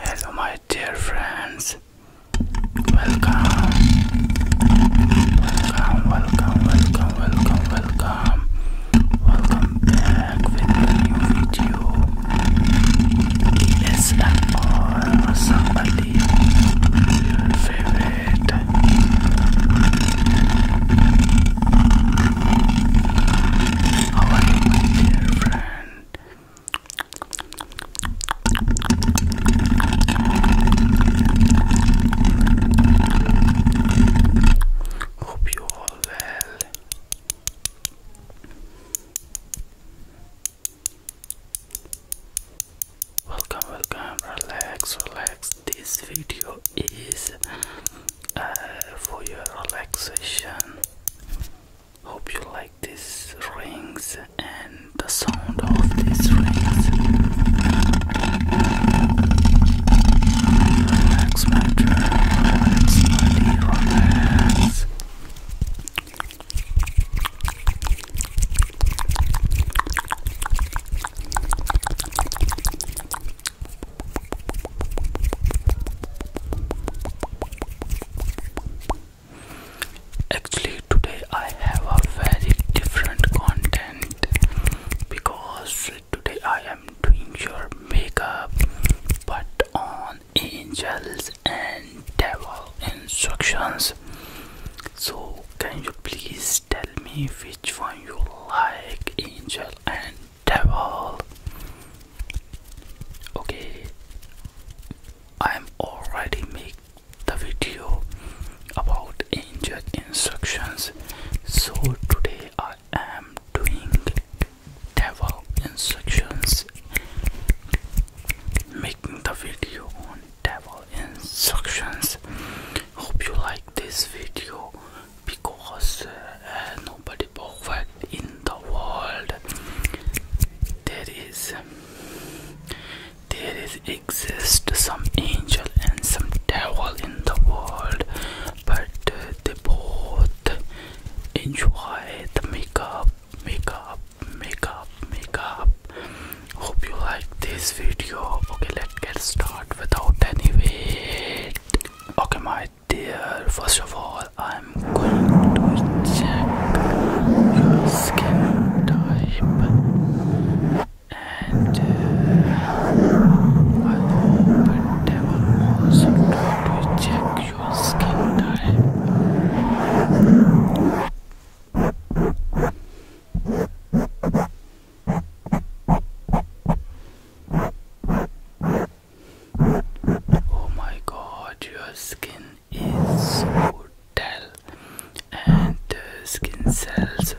Hello, my dear friends. Welcome. Welcome, welcome, welcome, welcome, welcome. back with a new video. It's an awesome, your favorite mind. dear friend? Hope you all well. Welcome, welcome, relax, relax. This video is uh, for your relaxation. Hope you like these rings and the sound of these rings. Actually, today I have a very different content because today I am doing your makeup but on angels and devil instructions. So, can you please tell me which one you like angel and devil okay i'm already make the video about angel instructions so today i am doing devil instructions making the video on devil instructions hope you like this video because uh, nobody perfect in the world there is there is exist some angel and some devil in the world but uh, they both enjoy the makeup makeup makeup makeup hope you like this video okay let's get started without any wait okay my dear first of all i'm going to check your skin type and i hope never will also try to check your skin type Oh my god, your skin is so dull, and the skin cells,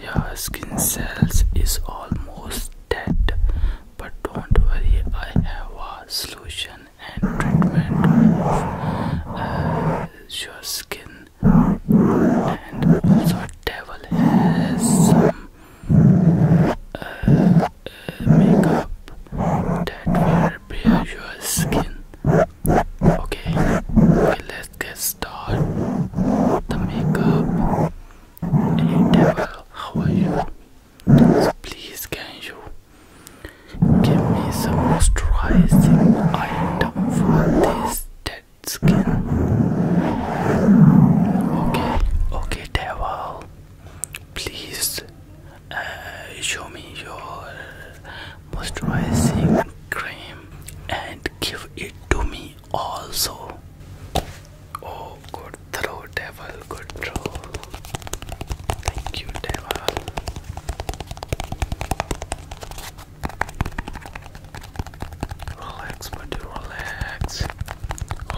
your skin cells is almost dead. But don't worry, I have a solution and treatment for uh, your skin and also devil has some uh, uh, makeup that will repair your skin. Okay, let's get started. The makeup. devil, how are you? So please can you give me some moisturizing item? up for this dead skin. Okay, okay, devil. Please uh, show me your moisturizing cream and give it to me also. Oh, good throw, devil, good throw. Thank you, devil. Relax, my dear, relax.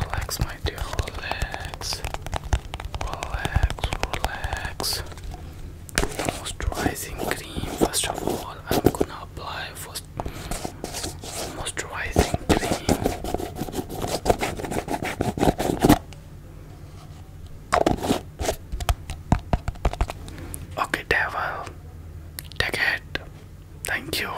Relax, my dear, relax. Relax, relax. Moisturizing cream. First of all, I'm gonna apply first moisturizing cream. Okay, devil, take Thank you.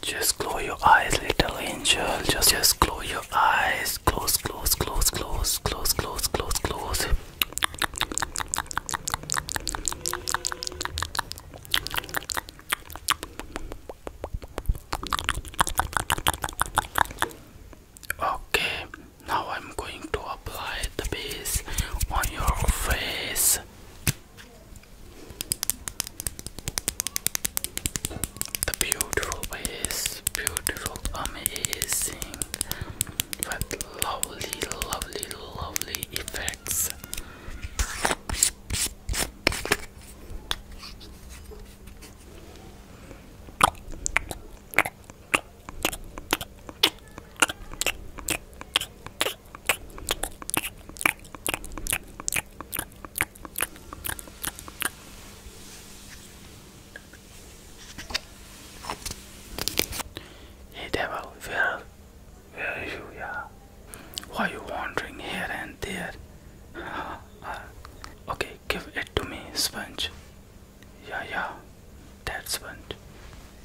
Just close your eyes, little angel. Just just close your eyes. Close, close, close, close, close, close, close, close. Okay, now I'm going to apply the base on your face. The beautiful ways, beautiful, amazing, but lovely, lovely, lovely effects. Hey devil, where, are you? Yeah. Why you wandering here and there? okay, give it to me, sponge. Yeah, yeah, that's sponge.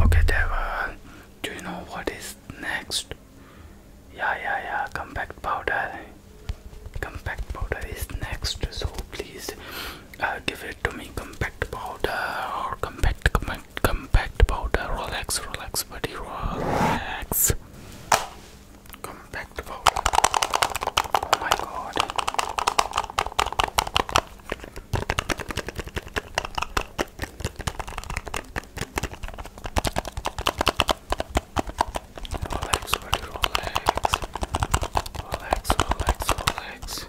Okay, Deva, do you know what is next? Yeah, yeah, yeah, compact powder. Compact powder is next, so please uh, give it to me. Compact powder or compact, compact, compact powder. Relax, relax, buddy, relax. Compact Oh my god. Relax, buddy, relax. Relax, relax, relax.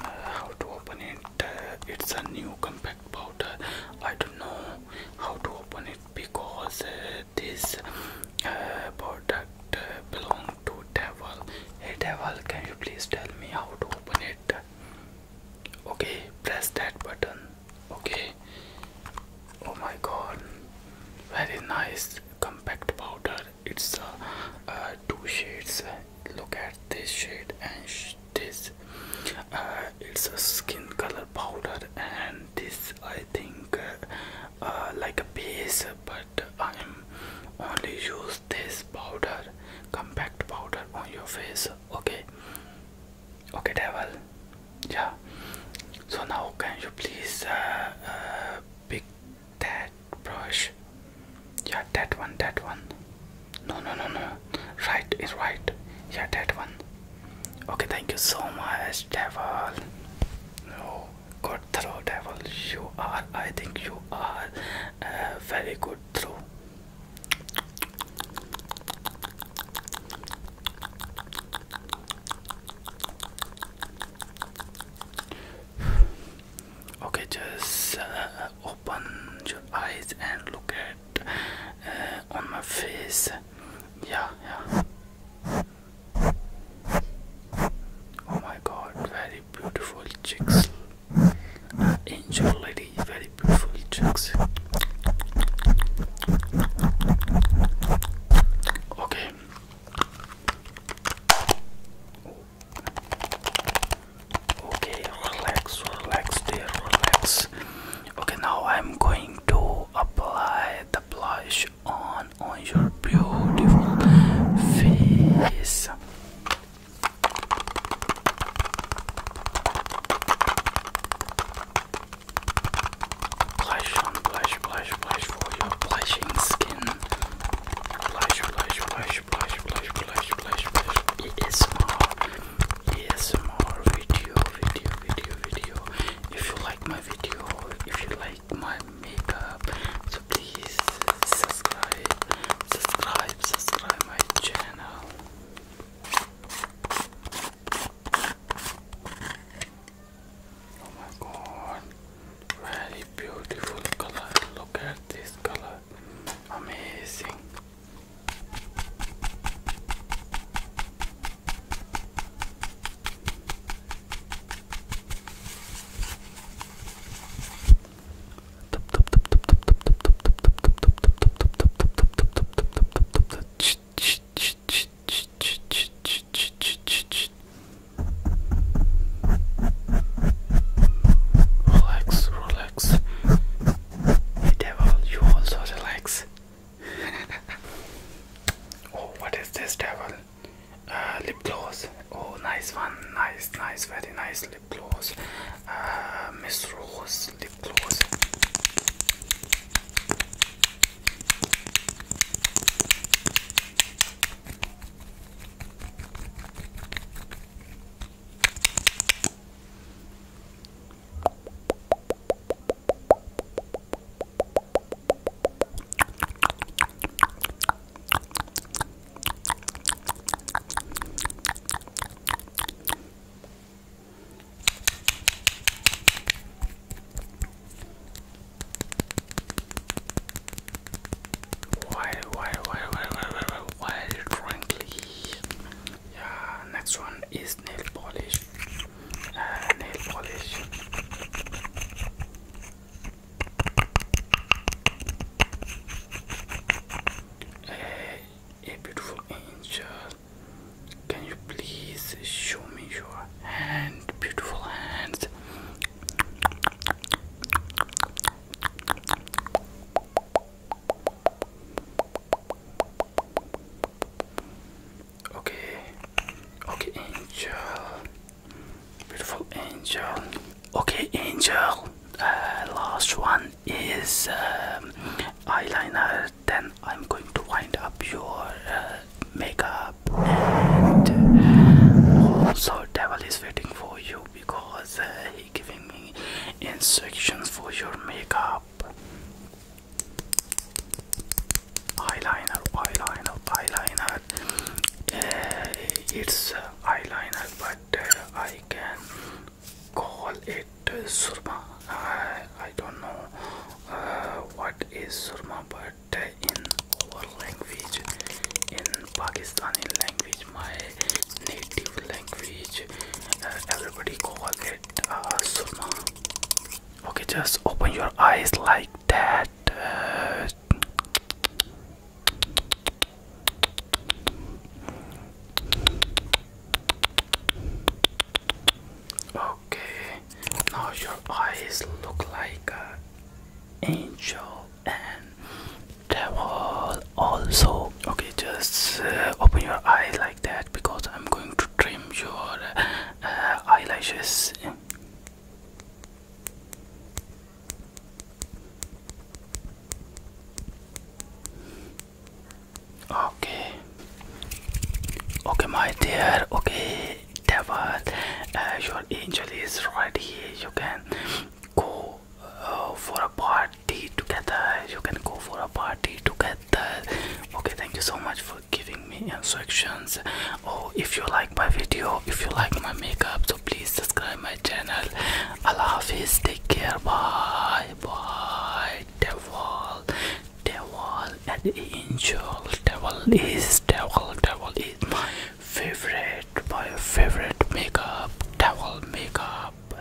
Uh, how to open it? Uh, it's a new compact powder. I don't know how to open it because uh, this uh, product uh, belongs to devil hey devil can you please tell me how to open it okay press that button okay oh my god very nice compact powder it's uh, uh two shades look at this shade and this uh, it's a skin color powder and this i think uh, like a base but I am only use this powder compact powder on your face okay okay devil yeah so now can you please uh, uh, pick that brush yeah that one that one no no no no right is right yeah that one okay thank you so much devil no good throw devil you are i think you are uh, very good throw okay just uh, open your eyes and look at uh, on my face yeah yeah Oh my god, very beautiful chicks. Angel lady, very beautiful chicks. Okay. Okay, relax, relax, dear, relax. Okay, now I'm going to apply the blush on on your beautiful face blush on blush blush blush for your blushing skin blush blush blush blush blush blush blush blush it is more yes more video video video video if you like video if you like my makeup so please subscribe subscribe subscribe my channel oh my god very beautiful color look at this color amazing Relax, relax. The devil, you also relax. oh, what is this devil? Uh, lip gloss. Oh, nice one. Nice, nice, very nice lip gloss. Uh, Miss Rose lip gloss. While, while, while, while, while, while, while, while, while, while, while, while, while, while, uh, nail polish. a beautiful angel, can you please show me your hand? Beautiful hands. Okay, okay, angel, beautiful angel. Okay, angel. Uh, last one is um, eyeliner. Then I'm going to wind up your uh, makeup, and uh, also devil is waiting for you because uh, he giving me instructions for your makeup eyeliner eyeliner eyeliner eh, it's uh, eyeliner but uh, I can call it surma I, don't know uh, what is surma but in our language in Pakistani language my native language everybody call it uh, okay, just open your eyes like that. okay, now your eyes look like an angel and devil also. Okay, just uh, open your eyes like that because I'm going to trim your uh, eyelashes. Okay, okay, my dear. Okay, Devon, uh, your angel is right here. You can go uh, for a part together. You can go for a party together. Okay, thank you so much for giving me instructions. Oh, if you like my video, if you like my makeup, so please subscribe my channel. Allah Hafiz, take care. Bye, bye. Devil, devil, an angel. Devil is devil. Devil is my favorite. My favorite makeup. Devil makeup.